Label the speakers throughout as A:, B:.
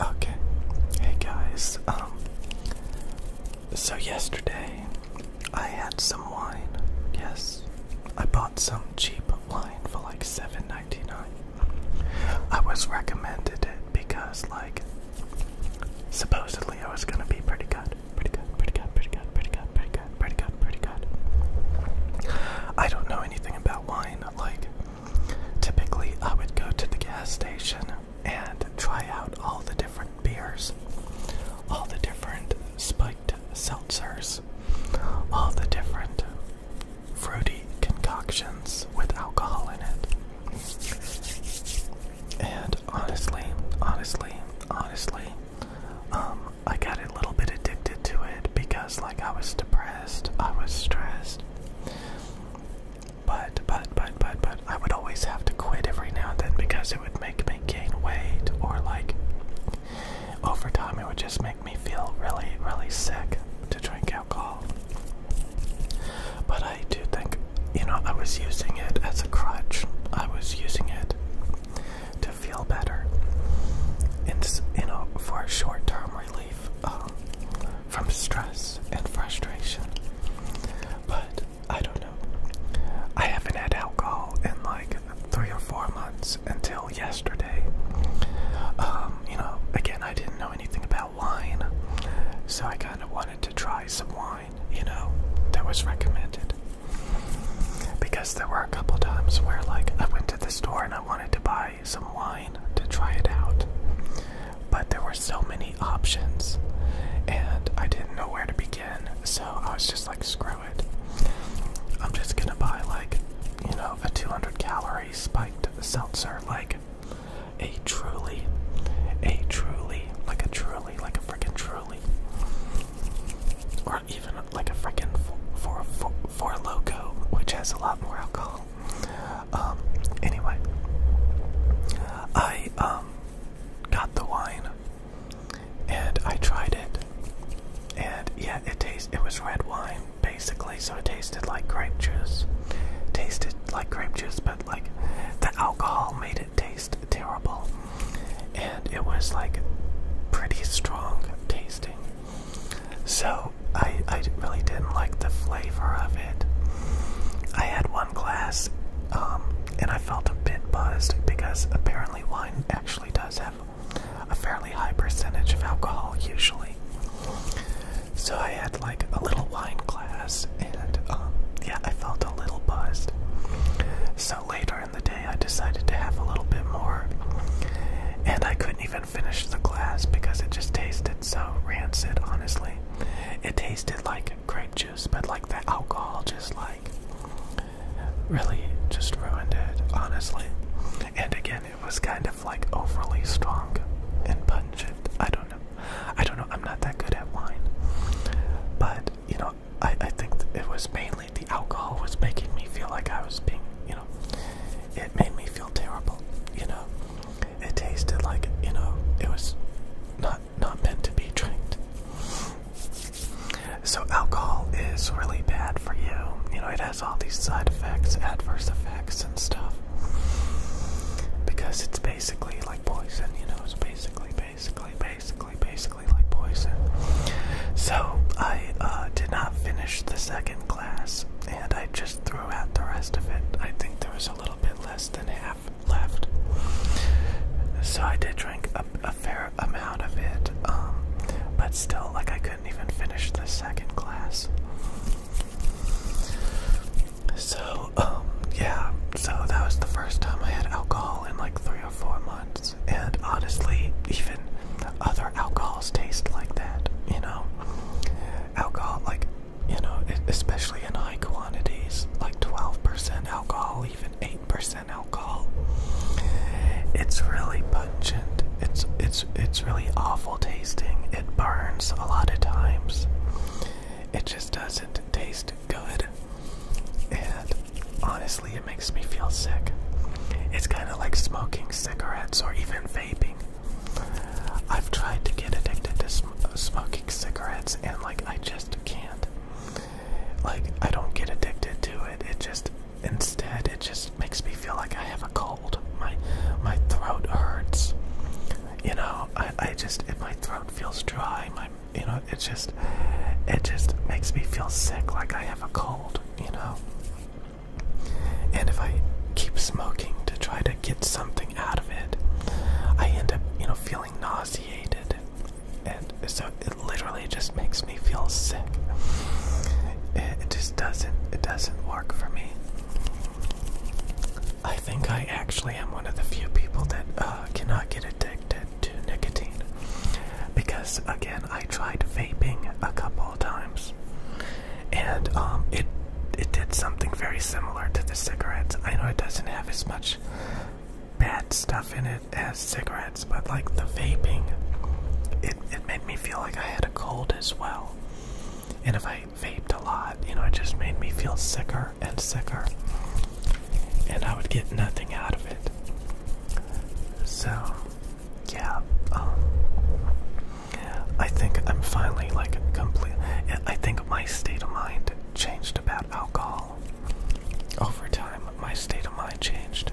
A: Okay. Hey guys. Um so yesterday I had some wine. Yes. I bought some cheap wine for like 7.99. I was recommended it because like supposedly I was going to be pretty good. Pretty good. Pretty good. Pretty good. Pretty good. Pretty good. Pretty good. Pretty good. I don't know anything about wine like Typically, I would go to the gas station and try out all the different beers, all the different spiked seltzers, all the different fruity concoctions with alcohol in it. And honestly, honestly, honestly, um, I got a little bit addicted to it because, like, I was depressed, I was stressed. But, but, but, but, but, I would always have to quit every now and then because it would make me gain weight, or like, over time, it would just make me feel really, really sick to drink alcohol. But I do think, you know, I was using it as a crutch, I was using it to feel better. And, you know, for a short term um, from stress and frustration. But I don't know. I haven't had alcohol in like three or four months until yesterday. Um, you know, again, I didn't know anything about wine, so I kind of wanted to try some wine, you know, that was recommended. Because there were a couple times where, like, I went to the store and I wanted to buy some wine to try it out. But there were so many options, and I didn't know where to begin, so I was just like, screw it. I'm just gonna buy, like, you know, a 200 calorie spiked seltzer, like a truly, a truly, like a truly, like a freaking truly even like a freaking for for which has a lot more alcohol. Um, anyway, I um got the wine and I tried it, and yeah, it tastes. It was red wine basically, so it tasted like grape juice. Tasted like grape juice, but like the alcohol made it taste terrible, and it was like pretty strong tasting. So I really didn't like the flavor of it. I had one glass, um, and I felt a bit buzzed because apparently wine actually does have a fairly high percentage of alcohol usually. So I had like a little wine glass, and um, yeah, I felt a little buzzed. So later the day, I decided to have a little bit more, and I couldn't even finish the glass because it just tasted so rancid, honestly. It tasted like grape juice, but like the alcohol just like really just ruined it, honestly. And again, it was kind of like overly strong and pungent. I don't know. I don't know. I'm not that good at wine. But, you know, I, I think it was mainly the alcohol was making me feel like I was being, you know, it made me feel terrible. You know, it tasted like, you know, it was not not meant to be drank. So alcohol is really bad for you. You know, it has all these side effects, adverse effects, and stuff. Because it's basically like poison. You know, it's basically, basically, basically basically, basically like poison. So I uh, did not finish the second class, and I just threw out the rest of it. I think there was a little bit less than half left. So I did drink a, fair amount of it, um, but still, like I couldn't even finish the second class. So um, yeah, so that was the first time I had alcohol in like three or four months. And honestly, even other alcohols taste like that, you know? Alcohol, like, you know, especially in high quantities, like 12% alcohol, even 8% alcohol. It's really pungent. It's it's it's really awful tasting. It burns a lot of times. It just doesn't taste good. And honestly, it makes me feel sick. It's kind of like smoking cigarettes or even vaping. I've tried to get addicted to uh, smoking cigarettes and like I just can't. Like I don't get addicted to it. It just instead it just makes me feel like I have a cold. My my throat hurts. You know, I I just if my throat feels dry, my you know it just it just makes me feel sick like i have a cold you know and if i keep smoking to try to get something out of it i end up you know feeling nauseated and so it literally just makes me feel sick it, just doesn't it doesn't work for me I think I actually am one of the few people that uh, cannot get addicted to nicotine because, again, I tried vaping a couple times, and um, it it did something very similar to the cigarettes. I know it doesn't have as much bad stuff in it as cigarettes, but like the vaping, it it made me feel like I had a cold as well. And if I vape a lot. You know, it just made me feel sicker and sicker. And I would get nothing out of it. So, yeah. Um, I think I'm finally like complete. I think my state of mind changed about alcohol. Over time, my state of mind changed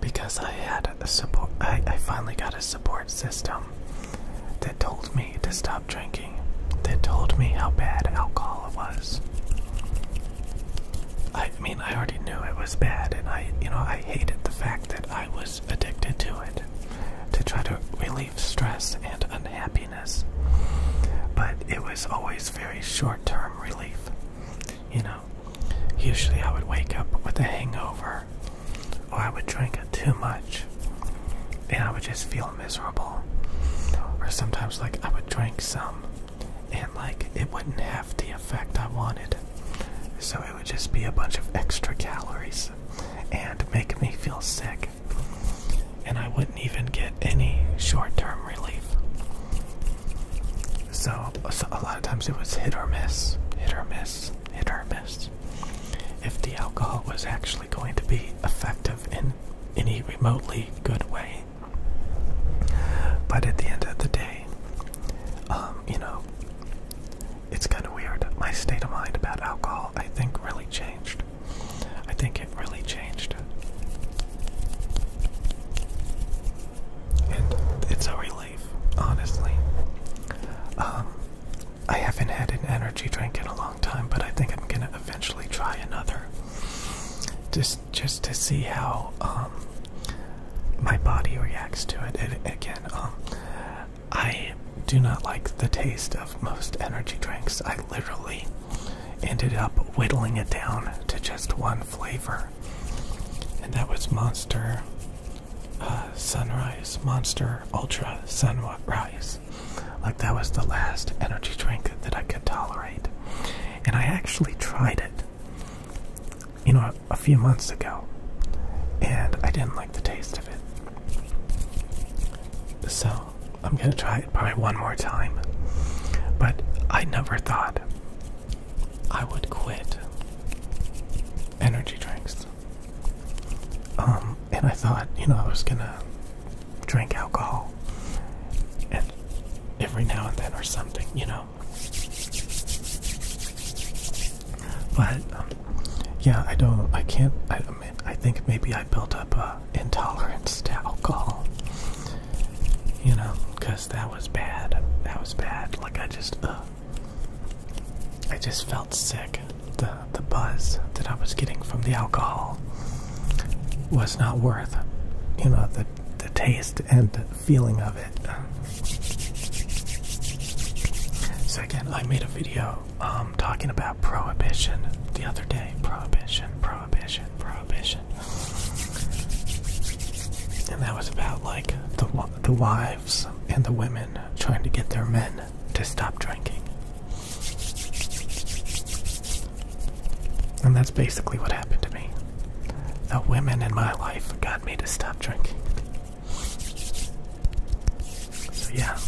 A: because I had a support. I, I finally got a support system am. They told me to stop drinking. They told me how bad alcohol was. I mean, I already knew it was bad, and I, you know, I hated the fact that I was addicted to it to try to relieve stress and unhappiness. But it was always very short term relief. You know, usually I would wake up with a hangover, or I would drink it too much, and I would just feel miserable. Or sometimes, like, I would drink some and, like, it wouldn't have the effect I wanted. So it would just be a bunch of extra calories and make me feel sick. And I wouldn't even get any short term relief. So, a lot of times it was hit or miss, hit or miss hit or miss. If the alcohol was actually going to be effective in any remotely good way. But at the end of the day, um, you know, it's kind of weird. My state of mind about alcohol, I think, really changed. I think it really changed. And it's a relief, honestly. Um, I haven't had an energy drink in a long time, but I think I'm gonna eventually try another. Just just to see how um my body reacts to it. again, um I do not like the taste of most energy drinks. I literally ended up whittling it down to just one flavor. And that was Monster uh, Sunrise Monster Ultra Sunrise. Like that was the last energy drink that I could tolerate. And I actually tried it, you know, a, a few months ago. And I didn't like the taste of it. So I'm going to try it probably one more time. But I never thought I would quit energy drinks. Um, and I thought, you know, I was gonna drink alcohol and every now and then or something, you know. But um, yeah, I don't, I can't. I, I, mean, I think maybe I built up a intolerance to alcohol. You know, because that was bad. That was bad. Like I just, I just felt sick. The the buzz that I was getting from the alcohol was not worth, you know, the the taste and feeling of it. Second, I made a video um, talking about prohibition the other day. Prohibition, prohibition, prohibition, and that was about like the the why and the women trying to get their men to stop drinking. And that's basically what happened to me. The women in my life got me to stop drinking. So, yeah.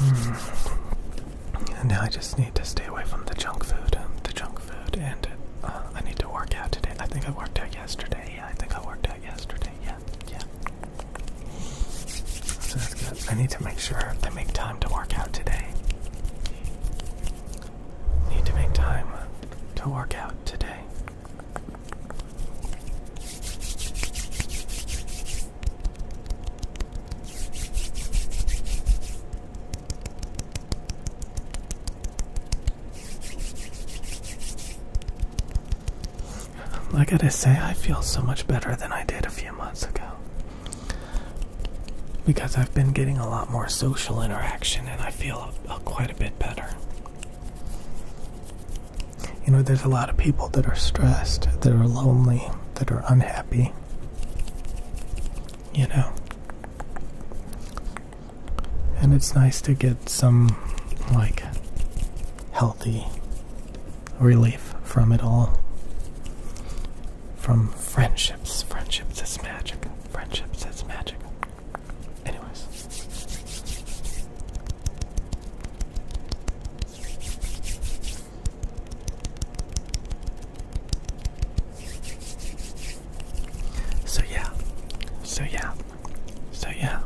A: Mm. Now I just need to stay away from the junk food, the junk food, and uh, I need to work out today. I think I worked out yesterday. Yeah, I think I worked out yesterday. Yeah, yeah. So that's good. I need to make sure I make time to work out today. Need to make time to work out today. I gotta say, I feel so much better than I did a few months ago. Because I've been getting a lot more social interaction and I feel quite a bit better you know, there's a lot of people that are stressed, that are lonely, that are unhappy. You know, and it's nice to get some like healthy relief from it all. From friendships, friendships is magic, friendships is magic. Anyways, so yeah, so yeah, so yeah.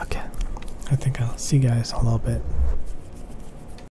A: Okay, I think I'll see you guys a little bit.